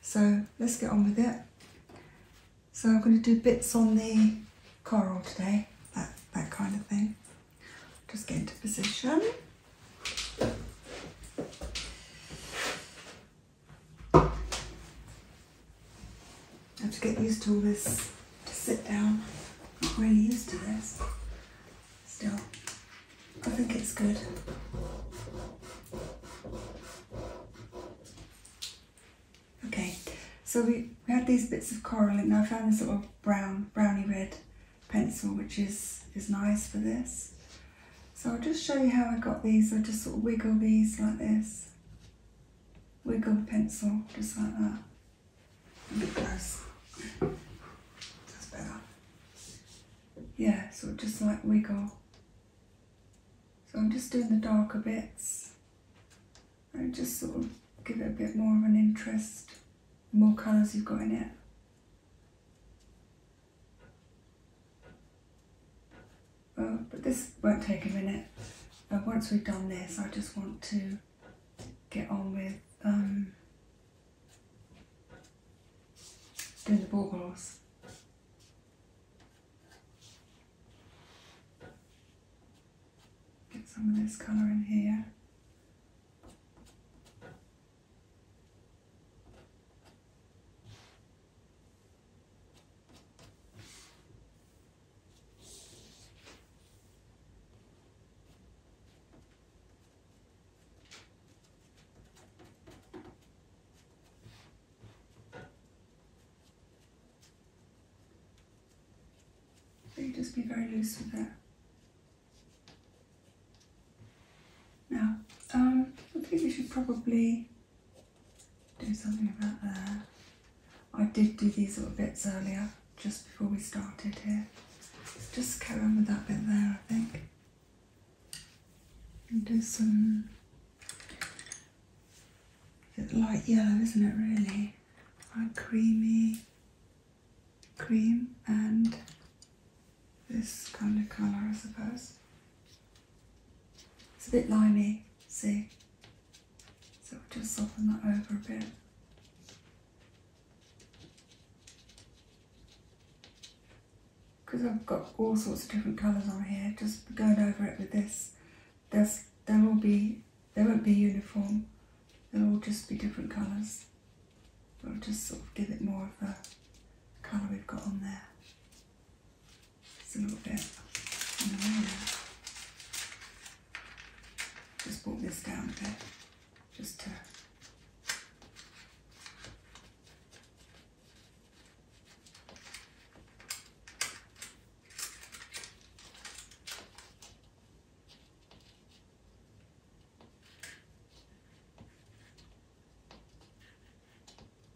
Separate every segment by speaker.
Speaker 1: So let's get on with it. So I'm going to do bits on the coral today, that, that kind of thing. Just get into position. I have to get used to all this, to sit down. I'm not really used to this. Still, I think it's good. Okay, so we, we had these bits of coral and I found this sort of brown, browny red pencil which is, is nice for this. So I'll just show you how I got these. I just sort of wiggle these like this. Wiggle the pencil, just like that because that's better. Yeah, so just like wiggle. So I'm just doing the darker bits and just sort of give it a bit more of an interest, more colours you've got in it. Uh, but this won't take a minute. And uh, once we've done this, I just want to get on with um, doing the baubles. Get some of this colour in here. So just be very loose with it. Now, um, I think we should probably do something about that. I did do these little bits earlier, just before we started here. Just carry on with that bit there, I think. And do some light yellow, isn't it really? Like creamy cream and this kind of colour, I suppose. It's a bit limey, see? So we'll just soften that over a bit. Because I've got all sorts of different colours on here, just going over it with this, There's, there will be, they won't be uniform, they'll just be different colours. We'll just sort of give it more of the colour we've got on there. Just a little bit there. Just brought this down a just to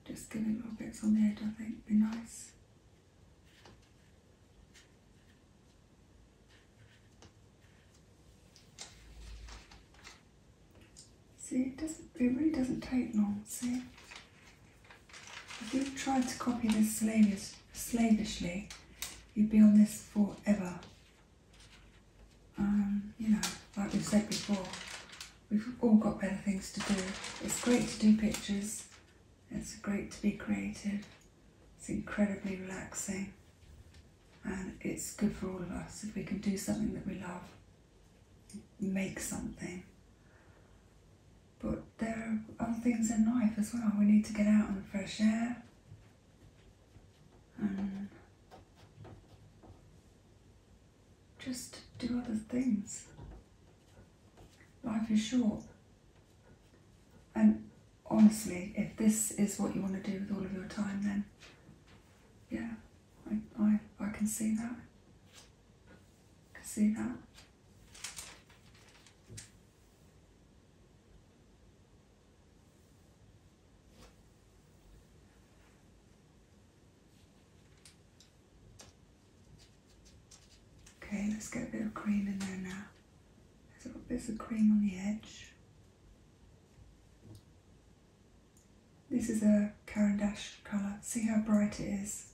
Speaker 1: Just getting little bits on the edge, I think, would be nice. See, it doesn't. It really doesn't take long. See, if you tried to copy this slavish, slavishly, you'd be on this forever. Um, you know, like we said before, we've all got better things to do. It's great to do pictures, it's great to be creative. It's incredibly relaxing. And it's good for all of us if we can do something that we love, make something. But there are other things in life as well. We need to get out in the fresh air. And just do other things. Life is short. And honestly, if this is what you want to do with all of your time, then yeah, I, I, can see that. I can see that. Okay, let's get a bit of cream in there now. There's a little bit of cream on the edge. This is a Caran d'Ache colour. See how bright it is.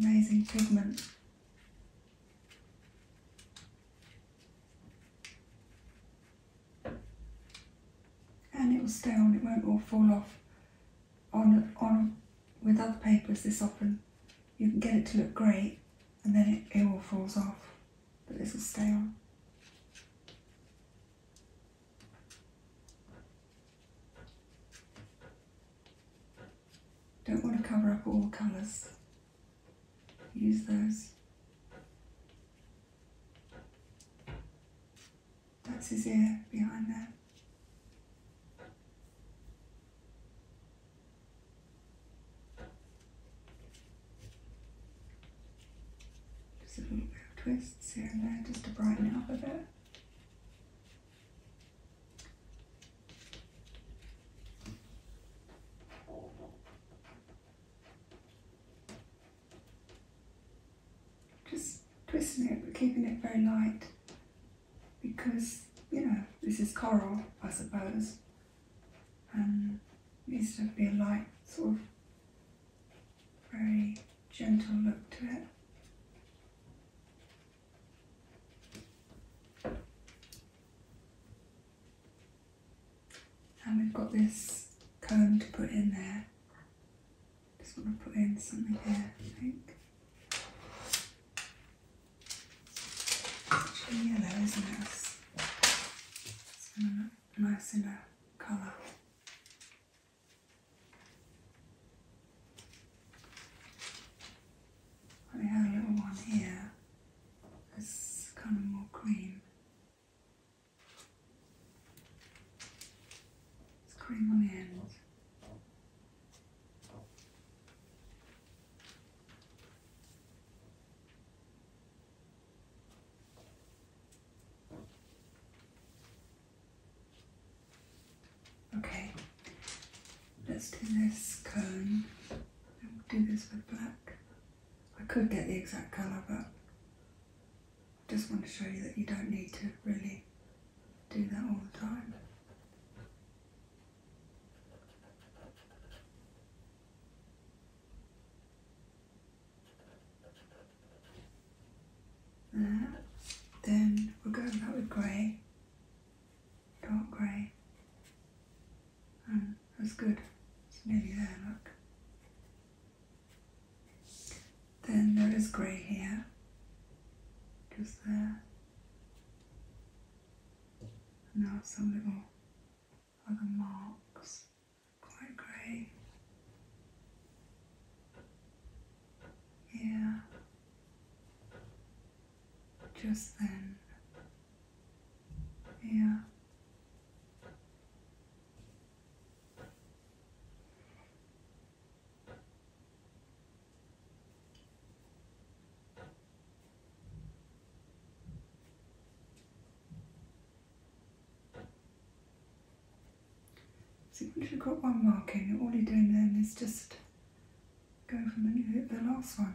Speaker 1: Amazing pigment and it will stay on, it won't all fall off on, on with other papers this often you can get it to look great and then it, all falls off but this will stay on. Don't want to cover up all the colours. Use those. That's his ear behind there. Just a little bit of twists here and there just to brighten up a bit just twisting it but keeping it very light because, you know, this is coral, I suppose, and um, needs to be a light, sort of very gentle look to it. And we've got this comb to put in there just want to put in something here, I think. It's actually yellow, isn't it? It's going to look nice in colour. We have a little one here that's kind of more green. It's curling on the ends. Okay, let's do this cone. I'll do this with black. I could get the exact colour, but just want to show you that you don't need to really do that all the time. Then we are going back with grey, dark grey, and um, that's good. It's nearly there, look. Then there is grey hair, just there. Now some little other marks, quite grey. Yeah, just then. Yeah. So once you've got one marking, all you're doing then is just go from the, the last one.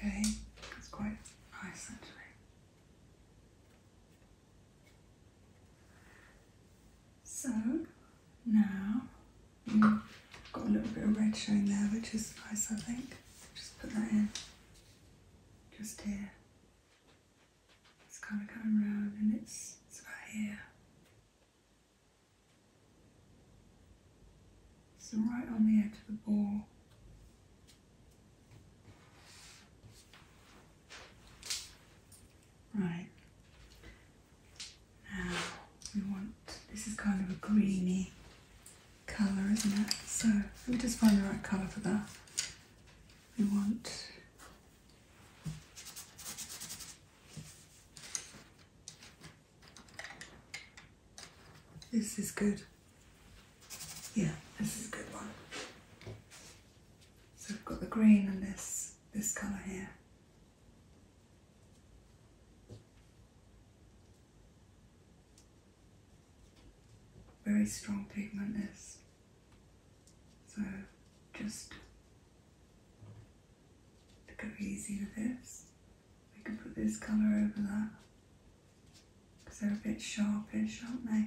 Speaker 1: Okay, it's quite nice actually. So now got a little bit of red showing there, which is nice, I think. Just put that in just here. It's kind of coming round and it's, it's about here. It's right on the edge of the ball. Right. Now we want, this is kind of a greeny colour, isn't it? So let me just find the right colour for that we want this is good yeah this is a good one so we've got the green and this this colour here very strong pigment is. So just to go easy with this, we can put this colour over that because they're a bit sharpish, aren't they?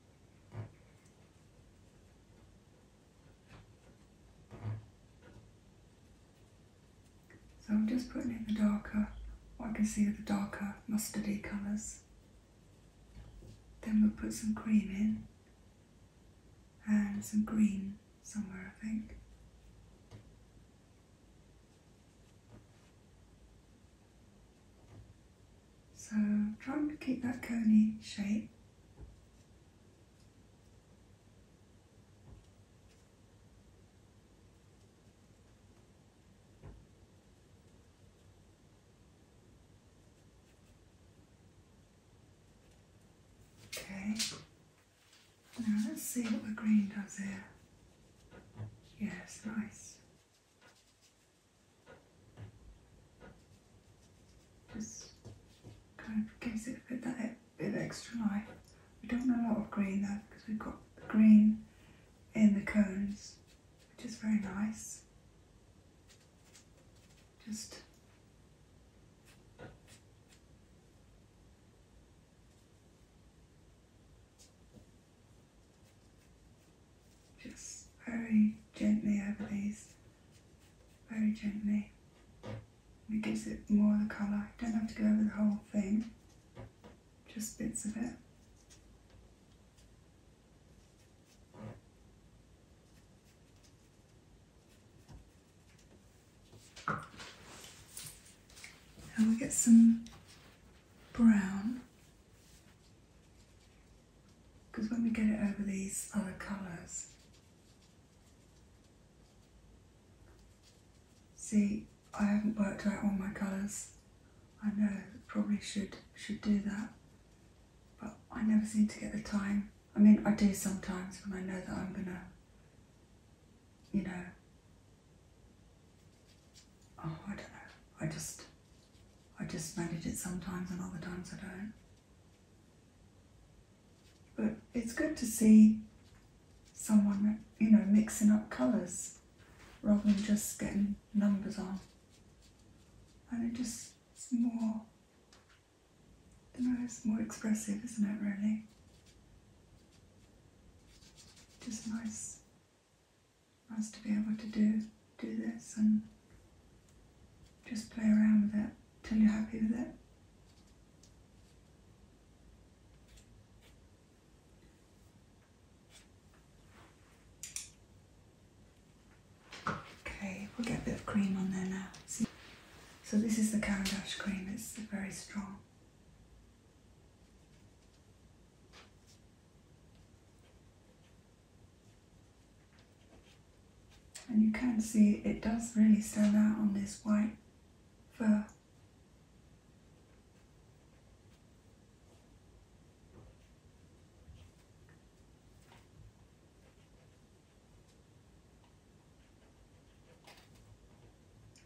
Speaker 1: So I'm just putting in the darker, I can see the darker mustardy colours. Then we'll put some cream in and some green somewhere I think. So trying to keep that coney shape. Okay, now let's see what the green does here. Yes, nice. Just kind of gives it a bit, that bit of extra life. We don't want a lot of green though because we've got the green in the cones, which is very nice. Just just very gently over these, very gently. It gives it more of the colour. You don't have to go over the whole thing, just bits of it. And we get some brown because when we get it over these other colours, see, I haven't worked out all my colours. I know probably should should do that, but I never seem to get the time. I mean, I do sometimes when I know that I'm gonna, you know. Oh, I don't know. I just I just manage it sometimes and other times I don't. But it's good to see someone, you know, mixing up colours rather than just getting numbers on. And it just, more, you know, it's more expressive, isn't it, really? Just nice nice to be able to do do this and just play around with it till you're happy with it. Okay, we'll get a bit of cream on there now. So this is the Cavendish cream, it's very strong. And you can see it does really stand out on this white fur.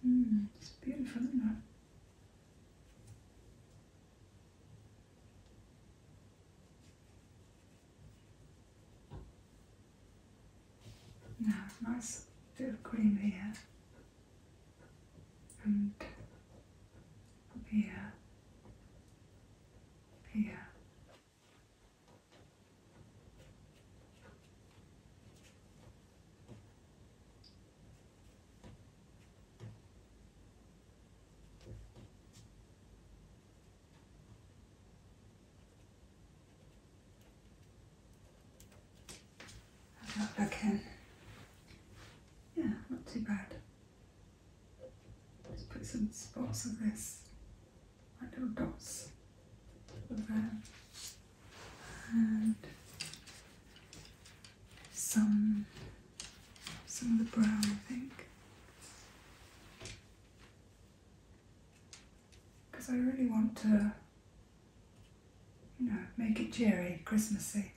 Speaker 1: Mm, it's beautiful, isn't it? Now nice little cream here and here, here. Not back in. Yeah, not too bad. Let's put some spots of this, little dots around. And some some of the brown, I think. Because I really want to, you know, make it cheery, Christmassy.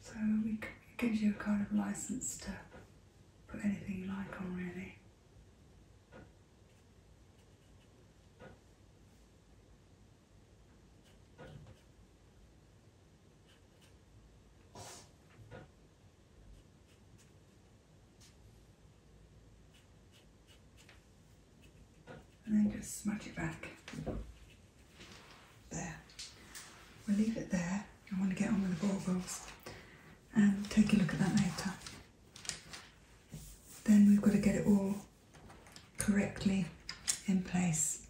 Speaker 1: So it gives you a kind of license to put anything you like on, really. And then just smudge it back. There. We'll leave it there. I want to get on with the baubles and take a look at that later. Then we've got to get it all correctly in place.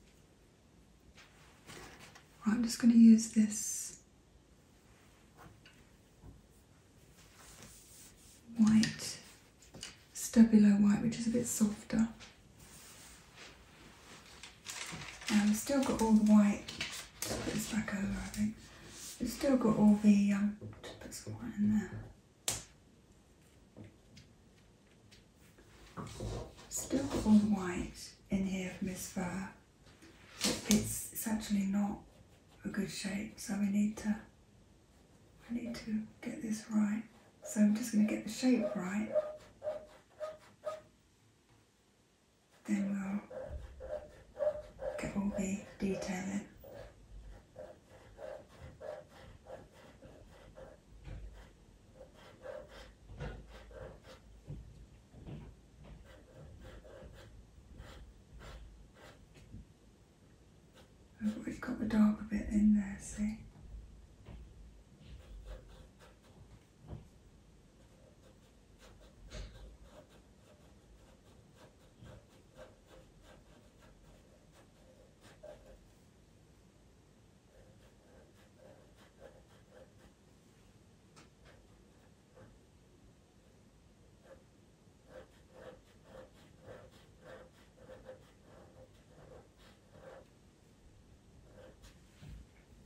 Speaker 1: I'm just going to use this white, Stabilo white, which is a bit softer. And we've still got all the white, put this back over I think, we've still got all the, um, just put some white in there. Still got one white in here from his fur. It's, it's actually not a good shape, so we need to, I need to get this right. So I'm just going to get the shape right. Then we'll get all the detail We've got the dark bit in there, see?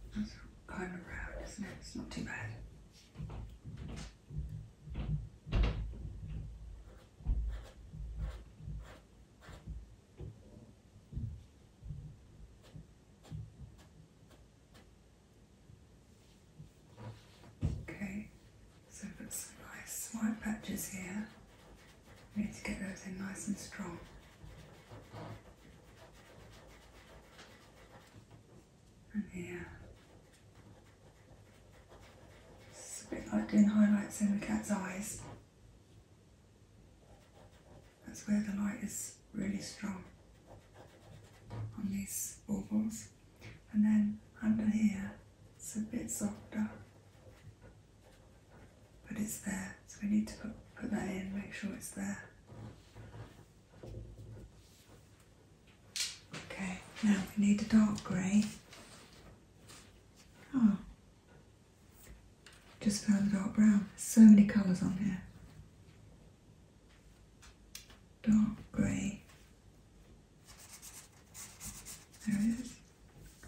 Speaker 1: That's kind isn't it? It's not too bad. Okay, so I've got some nice white patches here. I need to get those in nice and strong. And here. It's a bit like doing highlights in the cat's eyes. That's where the light is really strong on these ovals. And then under here, it's a bit softer, but it's there. So we need to put, put that in, make sure it's there. Okay, now we need a dark grey Ah, just found a dark brown. So many colours on here. Dark grey. There it is.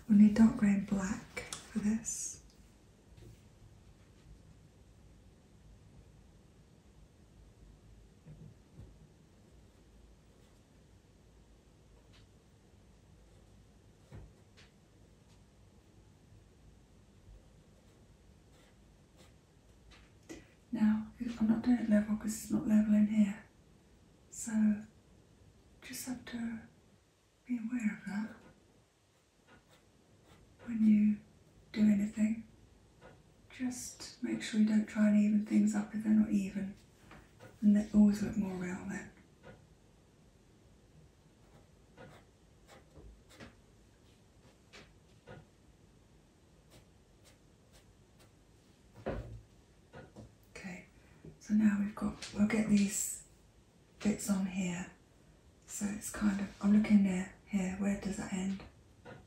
Speaker 1: need dark grey and black for this. Now, I'm not doing it level because it's not level in here. So, just have to be aware of that when you do anything. Just make sure you don't try and even things up if they're not even. And they always look more real there. Okay, so now we've got, we'll get these bits on here. So it's kind of, I'm looking there, here, where does that end?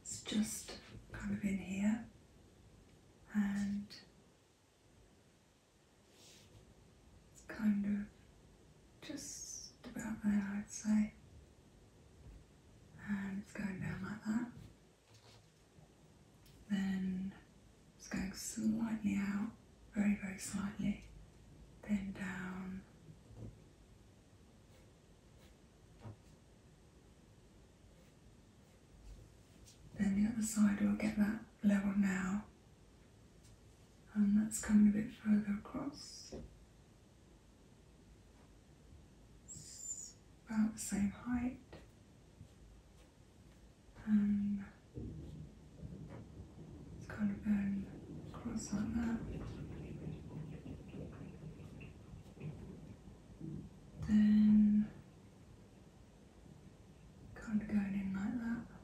Speaker 1: It's just kind of in here. And it's kind of just about there, I'd say. And it's going down like that. Then it's going slightly out, very, very slightly. Then down. Then the other side will get that level now. And that's coming a bit further across. about the same height. And it's kind of going across like that. Then Kind of going in like that.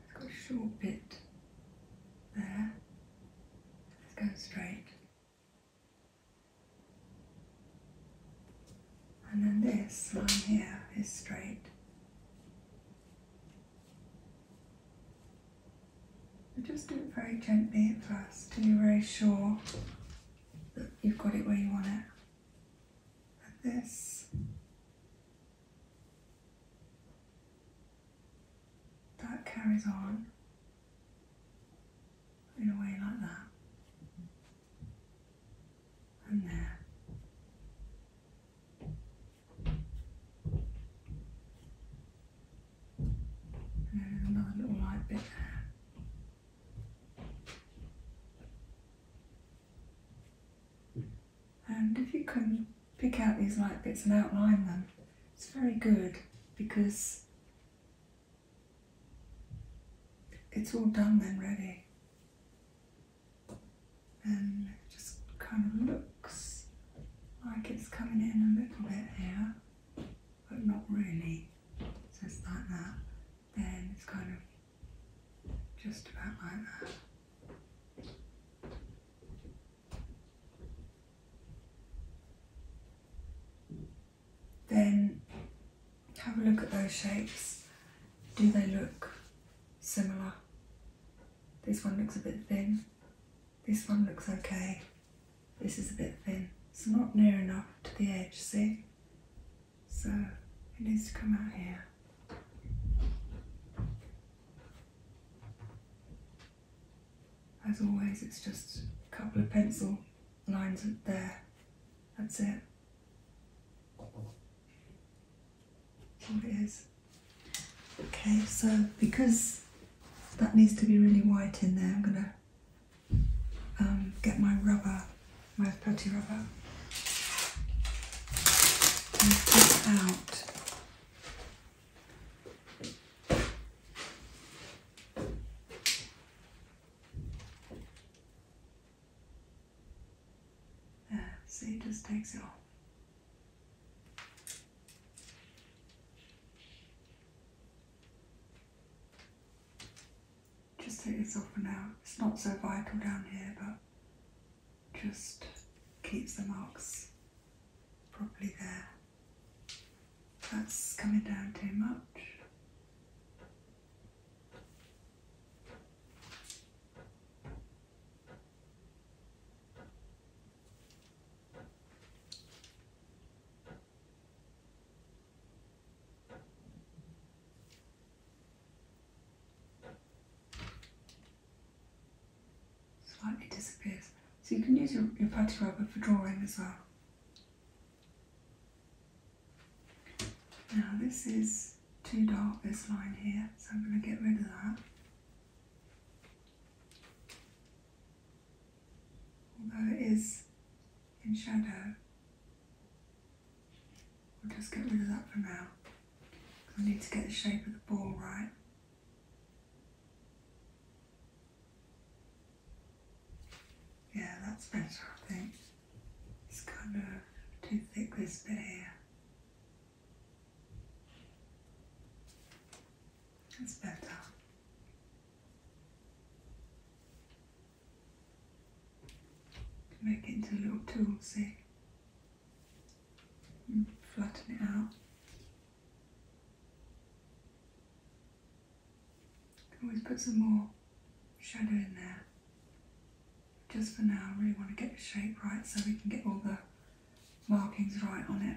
Speaker 1: Let's go a short bit there. Let's go straight. And then this line here is straight. just do it very gently at first till you're very sure you've got it where you want it. Like this. That carries on in a way like that. And there another little light bit there. And if you can pick out these light bits and outline them, it's very good because it's all done and ready. And just kind of looks like it's coming in a little bit here but not really. So it's like that. Then it's kind of just about like that. Then have a look at those shapes. Do they look similar? This one looks a bit thin. This one looks okay. This is a bit thin. It's not near enough to the edge, see? So it needs to come out here. As always, it's just a couple of pencil lines there. That's it. That's it is. Okay, so because that needs to be really white in there, I'm going to um, get my rubber, my putty rubber, and it out there, see it just takes it off. Just take this off for now. It's not so vital down here, but just keeps the marks properly there. That's coming down too much. Slightly disappears. So you can use your, your putty rubber for drawing as well. Now this is too dark, this line here, so I'm going to get rid of that although it is in shadow. We'll just get rid of that for now. I need to get the shape of the ball right. Yeah, that's better, I think. It's kind of too thick this bit here. That's better. Make it into little tools see? And mm, flatten it out. Can always put some more shadow in there. Just for now, I really want to get the shape right so we can get all the markings right on it.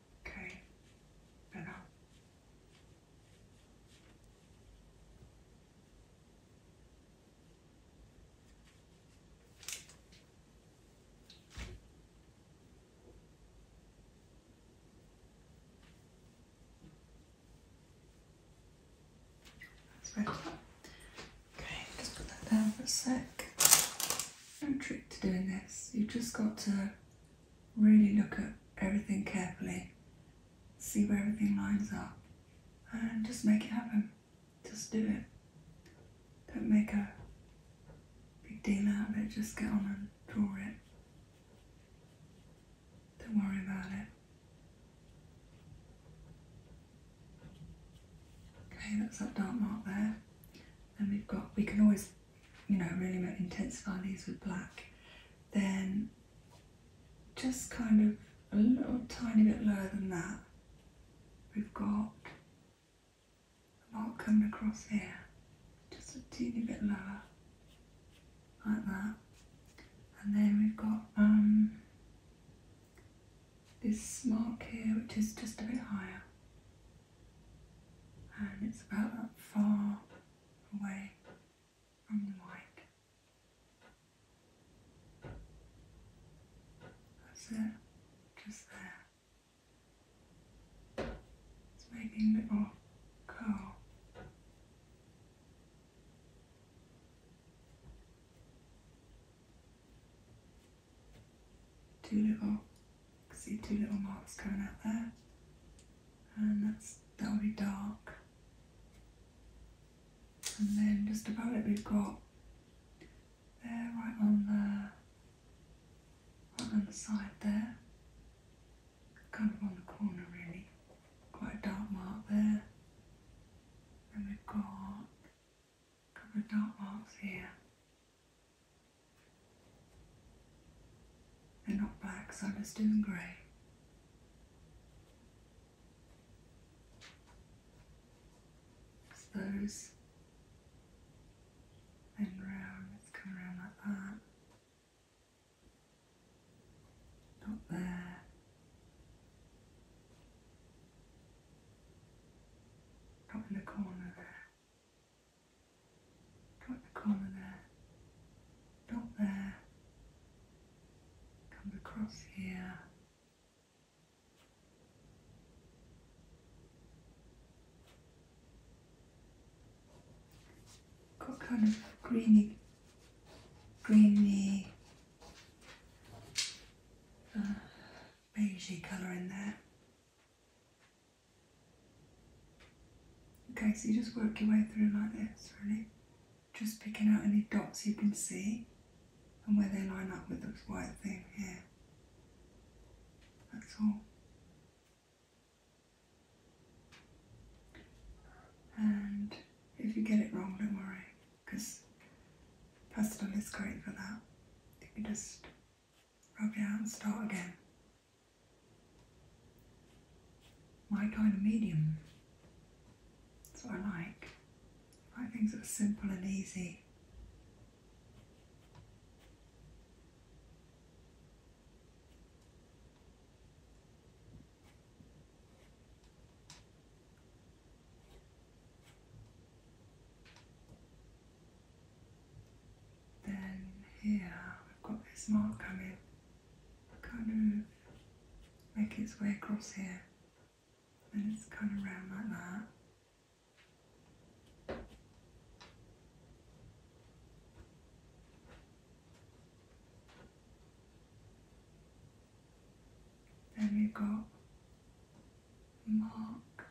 Speaker 1: Okay, better. That's better. Okay, just put that down for a sec. No trick to doing this. you just got to really look at everything carefully, see where everything lines up, and just make it happen. Just do it. Don't make a big deal out of it, just get on and draw it. Don't worry about it. Okay, that's that dark mark there. And we've got, we can always you know, really intensify these with black, then just kind of a little tiny bit lower than that, we've got a mark coming across here, just a teeny bit lower, like that. And then we've got um, this mark here, which is just a bit higher and it's about that far away from the mic. That's it, just there. It's making a little curl two little, see two little marks going out there, and that's that'll be dark. And then just above it we've got there right on the right on the side there, kind of on the corner really, quite a dark mark there. And we've got a couple of dark marks here. They're not black, so I'm just doing grey. Those then round, let's come around like that. Not there. Up in the corner there. Got the corner there, not there, comes across here. Got kind of greeny, greeny, uh, beigey colour in there. Okay, so you just work your way through like this, really. Just picking out any dots you can see and where they line up with this white thing here. That's all. And if you get it wrong, don't worry, because pastel is great for that. You can just Okay, I'll start again. My kind of medium. That's what I like. I like things that are simple and easy. Then here we've got this mark coming, kind of make its way across here, and it's kind of round like that. Then we've got mark